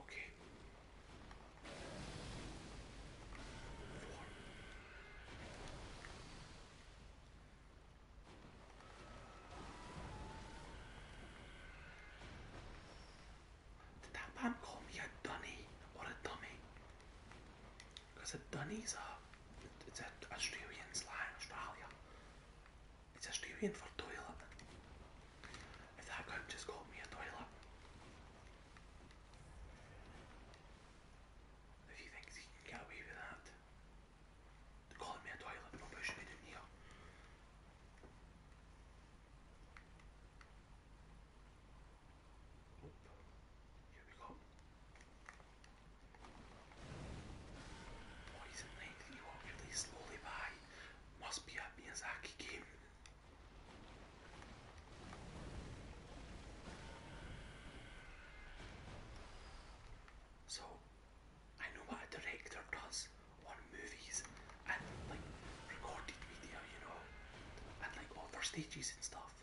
Okay. Did that man call me a dunny or a dummy? a dunny's a it's an Australian slang, Australia. It's Australian for toilet. If that guy just got me a toilet. If he thinks he can get away with that, calling me a toilet for pushing me in here. Here we go. Poison Lake, you slowly by. Must be a Miyazaki game. So, I know what a director does on movies and like recorded media, you know, and like other stages and stuff.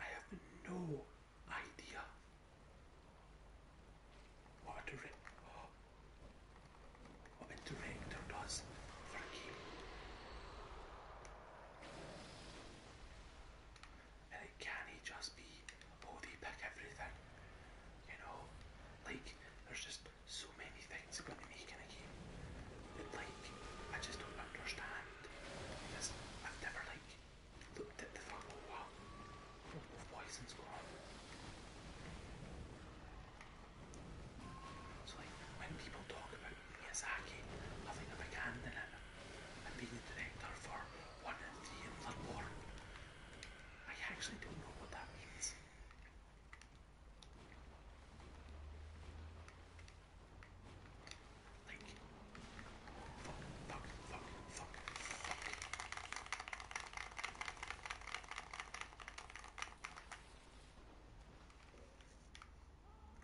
I have no idea what to read when to make the and it can it just be oh they pick everything you know like there's just so many things going to in a game that like I just don't understand because I've never like so when people talk about Miyazaki having a big hand in it and being the director for one and three and Bloodborne, I actually don't know what that means.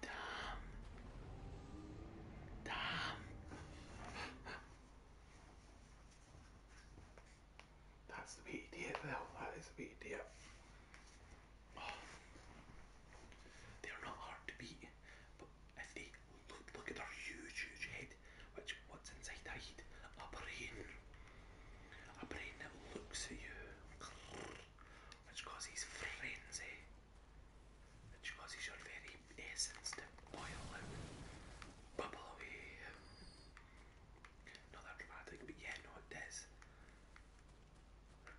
Damn. Damn. That's the BDF though, that is the BDF. Oh. They are not hard to beat, but if they look, look at their huge, huge head, which what's inside that head? A brain. A brain that looks at you, which causes frenzy, which causes your very essence to boil out, bubble away. Not that dramatic, but yeah, no, it is.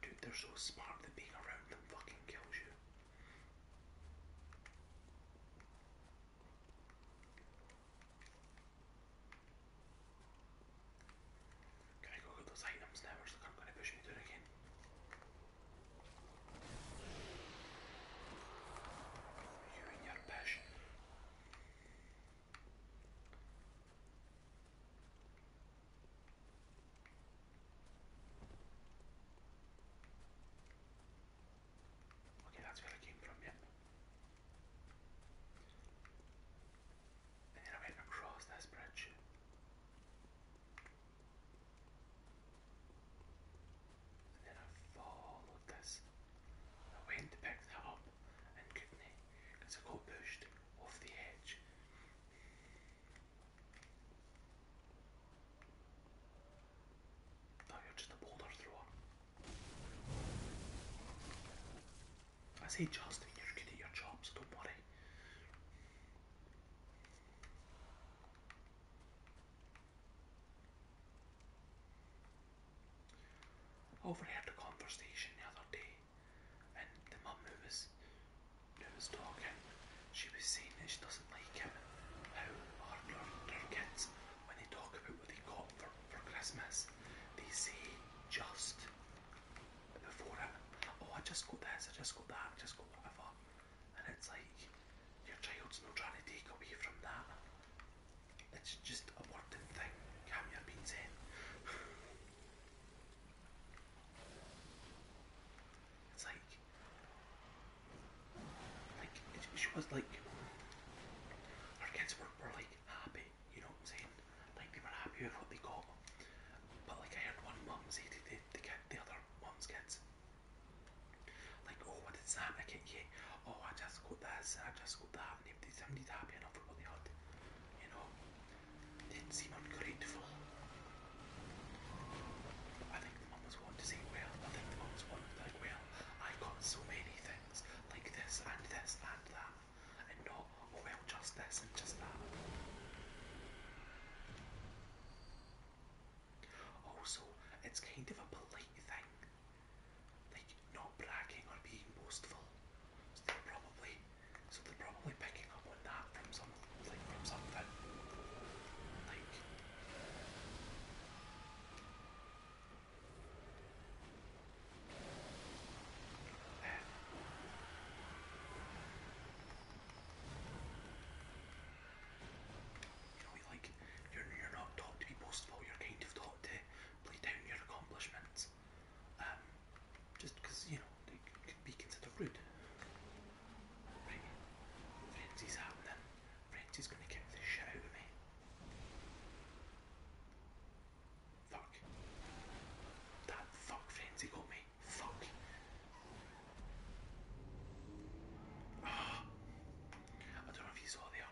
Dude, they're so smart that being around them fucking kills you. Can I go get those items now or is I'm going to push me through again? You and your pish. Okay, that's where I came from, yep. then I went across this bridge. then I followed this. I went to pick that up and could I got pushed off the edge. No, you're just a boulder thrower. I say Justin, you're good your job, so don't worry. Overheard a conversation the other day, and the mum who who is talking. She was saying that she doesn't like him, how her, her kids, when they talk about what they got for, for Christmas, they say just before it, oh, I just got this, I just got that, just got whatever. And it's like, your child's not trying to take away from that. It's just a wording thing, calm your beans in. It's like, like she was like her kids were, were like happy, you know what I'm saying? Like they were happy with what they got. But like I heard one mum say to the, other mum's kids, like, oh what did Sam I get Oh I just got this I just got that and they, they seemed happy enough for what they You know? It's ungrateful. I think the mums want to say, well, I think the mums want to be well, I got so many things, like this and this and that, and not, oh, well, just this and just that. Also, it's kind of a polite thing, like not bragging or being boastful. So probably so they're probably picking up on that from some something. Like you are you're not taught to be boastful. You're kind of taught to play down your accomplishments. Um, just because you know they could be considered Right, frenzy's happening. Frenzy's gonna kick the shit me. Fuck. That fuck frenzy got me. Fuck. Ah. I don't know if you saw there.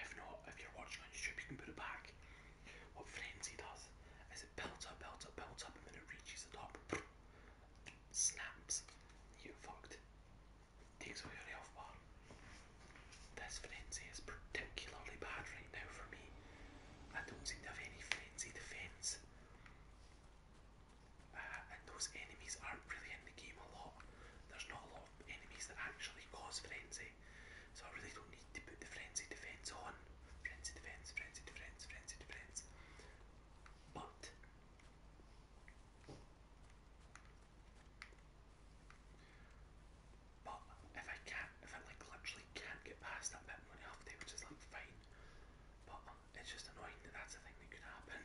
If not, if you're watching on YouTube, you can put it back. What frenzy does is as it builds up, builds up, builds up, and then it reaches the top. Snaps. You fucked. Takes away your health bar. This frenzy is particularly bad right now for me. I don't seem to have any frenzy defense. Uh, and those enemies aren't really in the game a lot. There's not a lot of enemies that actually cause frenzy. So I really don't need to put the frenzy defense on. Friends and friends, friends and friends, friends and friends. But but if I can't, if I like literally can't get past that bit on half day, which is like fine, but it's just annoying that that's a thing that could happen.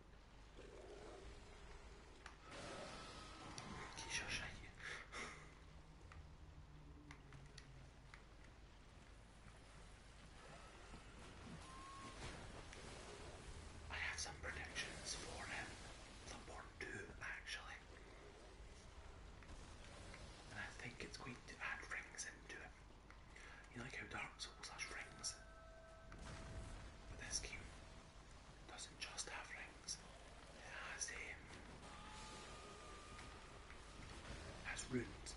Qui cherche have some predictions for him, someone too actually. And I think it's going to add rings into it. You like how Dark Souls has rings, but this game doesn't just have rings. It has um, has runes,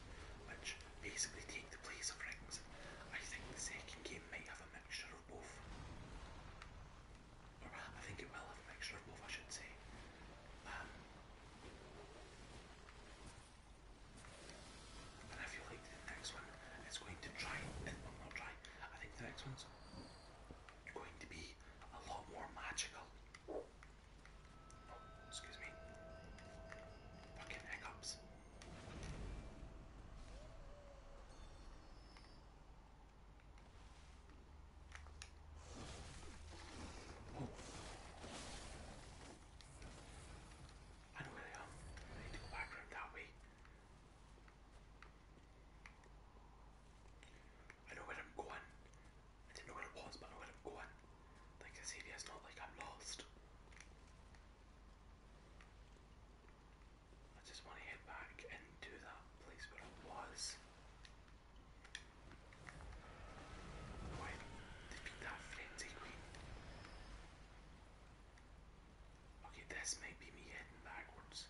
which basically take the place of rings. I think the second game might have a mixture of both, or I think it will have a mixture of both. I should say. Um, and I feel like the next one is going to try, well not try, I think the next one's going to be a lot more magical. Oh, excuse me. Fucking hiccups. Oh. I don't really know. Um, I need to go back around that way. I know where I'm going. I didn't know where it was, but I know where I'm going. Like this area is not like I'm lost. I just want to head back and into that place where I was. Why defeat that frenzy queen? Okay, this might be me heading backwards.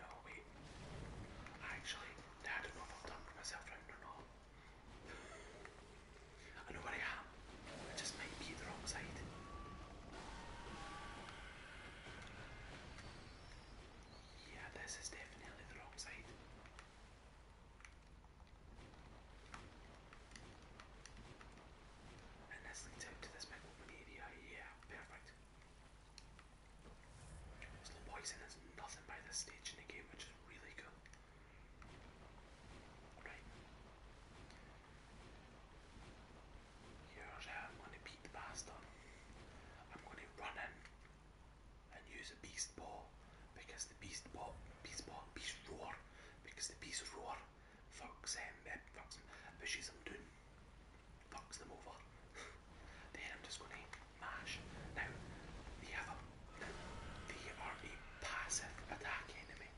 No, wait. Actually, I don't know if I've dumped myself around or not. I know where I am. I just might be the wrong side. Yeah, this is definitely the wrong side. And that's linked out to this big yeah, perfect. Slow poison is nothing by this stage in the game, which is really cool. Right. Here's how uh, I'm going to beat the bastard. I'm going to run in and use a beast ball because the beast ball, beast ball, beast roar because the beast roar fucks him, um, eh, fucks him, pushes him down, fucks them over. then I'm just going to mash. Now the have a, they are a passive attack enemy.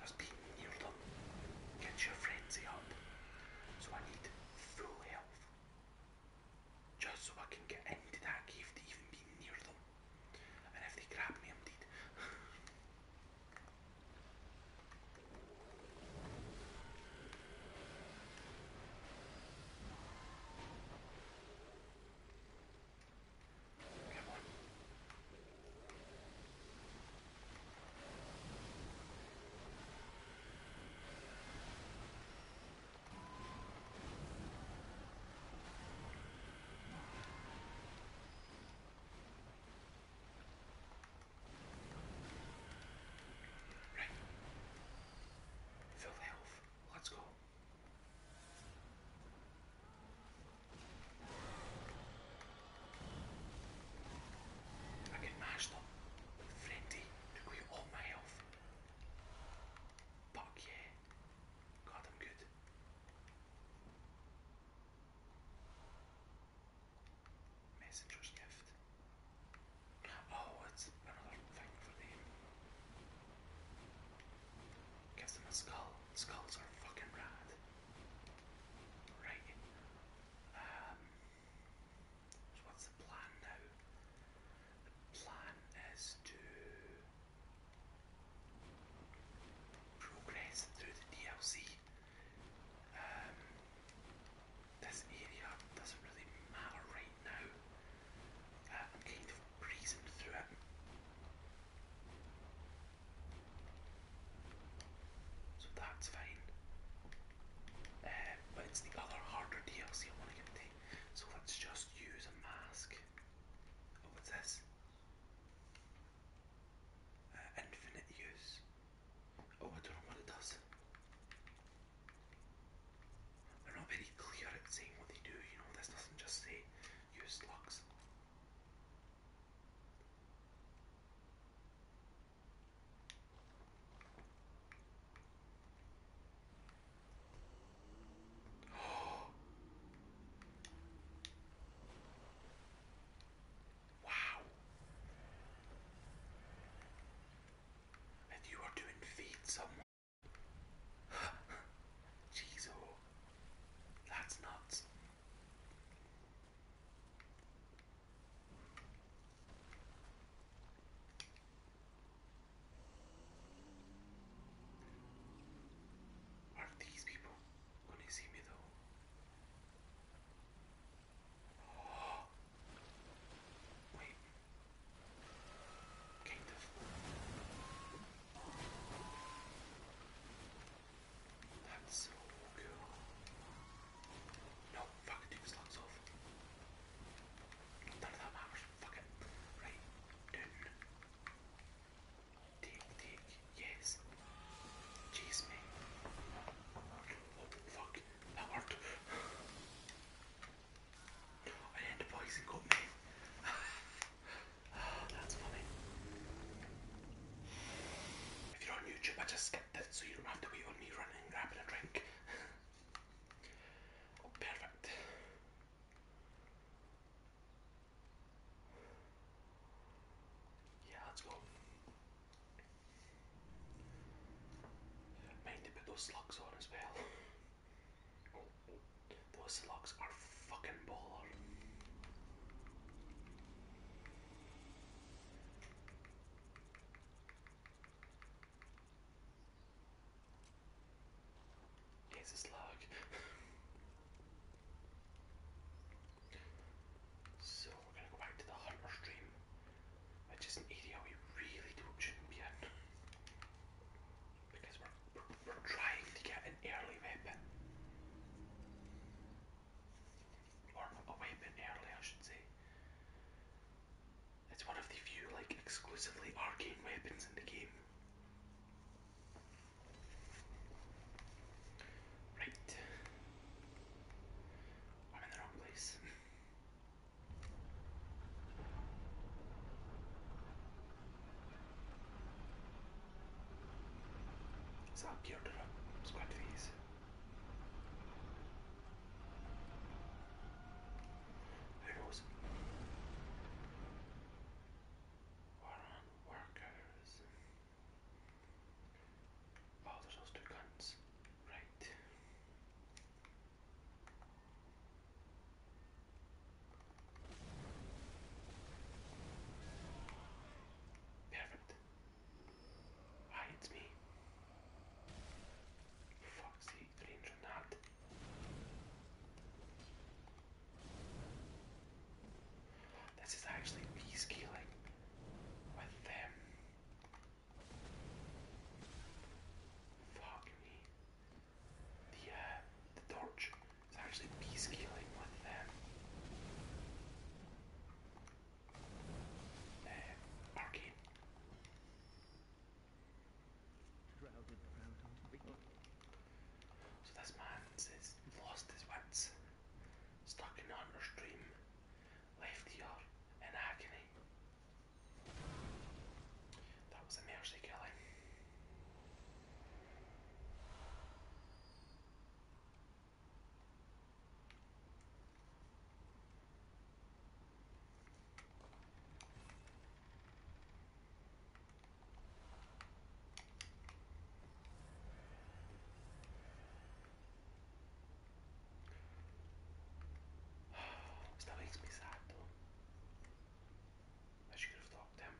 Just be near them, get your frenzy up. So I need full health just so I can get into that cave to even be near them. En heeft die kraap me om dit. Right. Fill health. Let's go. I can mash them. Friendly, took all my health. Fuck yeah. God, I'm good. Messenger's gift. Oh, it's another thing for them. Gives them a skull. Skulls are fucking rad. Right. Um, what's the plan now? The plan is to progress through the DLC. Um, this area doesn't really matter right now. Uh, I'm kind of breezing through it. So that's fine. Uh, but it's the other harder DLC I want to get to. So let's just use a mask. Oh, what's this? Uh, infinite use. Oh, I don't know what it does. They're not very clear at saying what they do, you know, this doesn't just say use slugs wow. And you are doing feed someone. Oh, that's nuts. Are these people gonna see me though? Wait. Kind That's so cool. No, fuck, dude, slugs off. None of that matters. Fuck Right. Noon. Take, take. Yes. Chase me. Oh, fuck. That worked. I had the poison got me. that's funny. If you're on YouTube, I just skipped it so you don't have to wait on me running, grabbing a drink. Perfect. Yeah, let's go. Mind to put those slugs on as well. Those slugs are fucking baller. Jesus luck. so we're gonna go back to the harbor stream, which is an area we really don't shouldn't be in. Because we're, we're trying to get an early weapon. Or a weapon early I should say. It's one of the few like exclusively arcane weapons in the game. Right. I'm in the wrong place. It's up here to the there Warren workers. Oh, there's those two guns. Right. Perfect. Hi, it's me. Foxy, range on that. This is actually me scaling with them. Fuck me. The uh, the torch is actually me with them. Uh, arcane. So this man has lost his wits, stuck in Hunter's dream, left here in agony. That was a mercy killing. Estava expensado. I should have stopped them.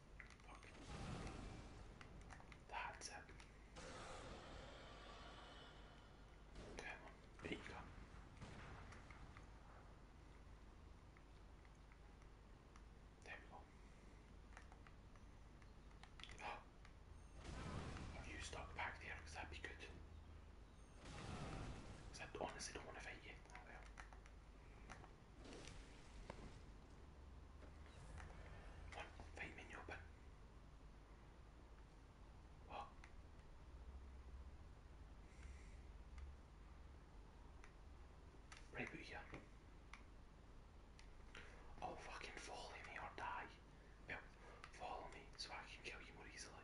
The That's it. Okay, well, there you you stuck back there? Because that'd be good. Because I honestly don't want to fight you. Oh, Voilà, fai mignon pas. Oh. Right about Oh, fucking follow me or die. follow me so I can kill you more easily.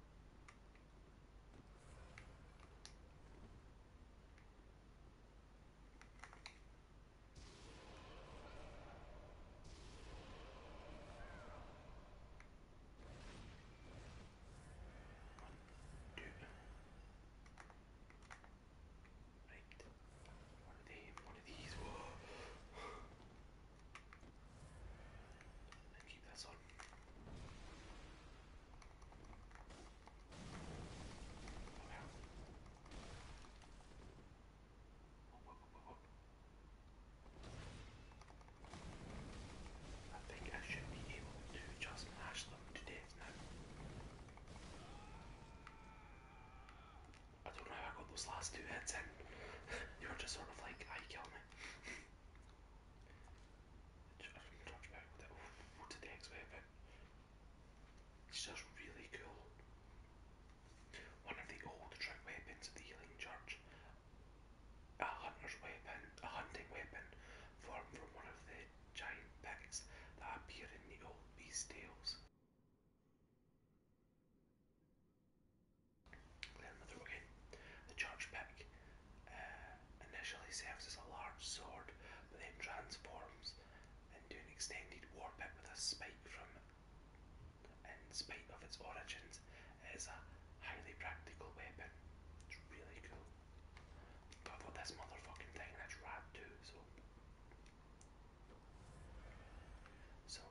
Two. Right. One of them, one of these. Whoa keep that on. I think I should be able to just mash them to death now. I don't know how I got those last two hits in. you were just sort of like, I ah, kill me. Touch back with it. Oh, to the X weapon. It's just really cool. One of the old trick weapons of the Healing Church. A hunter's weapon, a hunting weapon, formed from one of the giant picks that appear in the old beast tales. Then we The charge pack uh, initially serves as a large sword, but then transforms into an extended war pick with a spike from it. In spite of its origins, it is a highly practical weapon. It's really cool. But i this motherfucking thing and rad too, So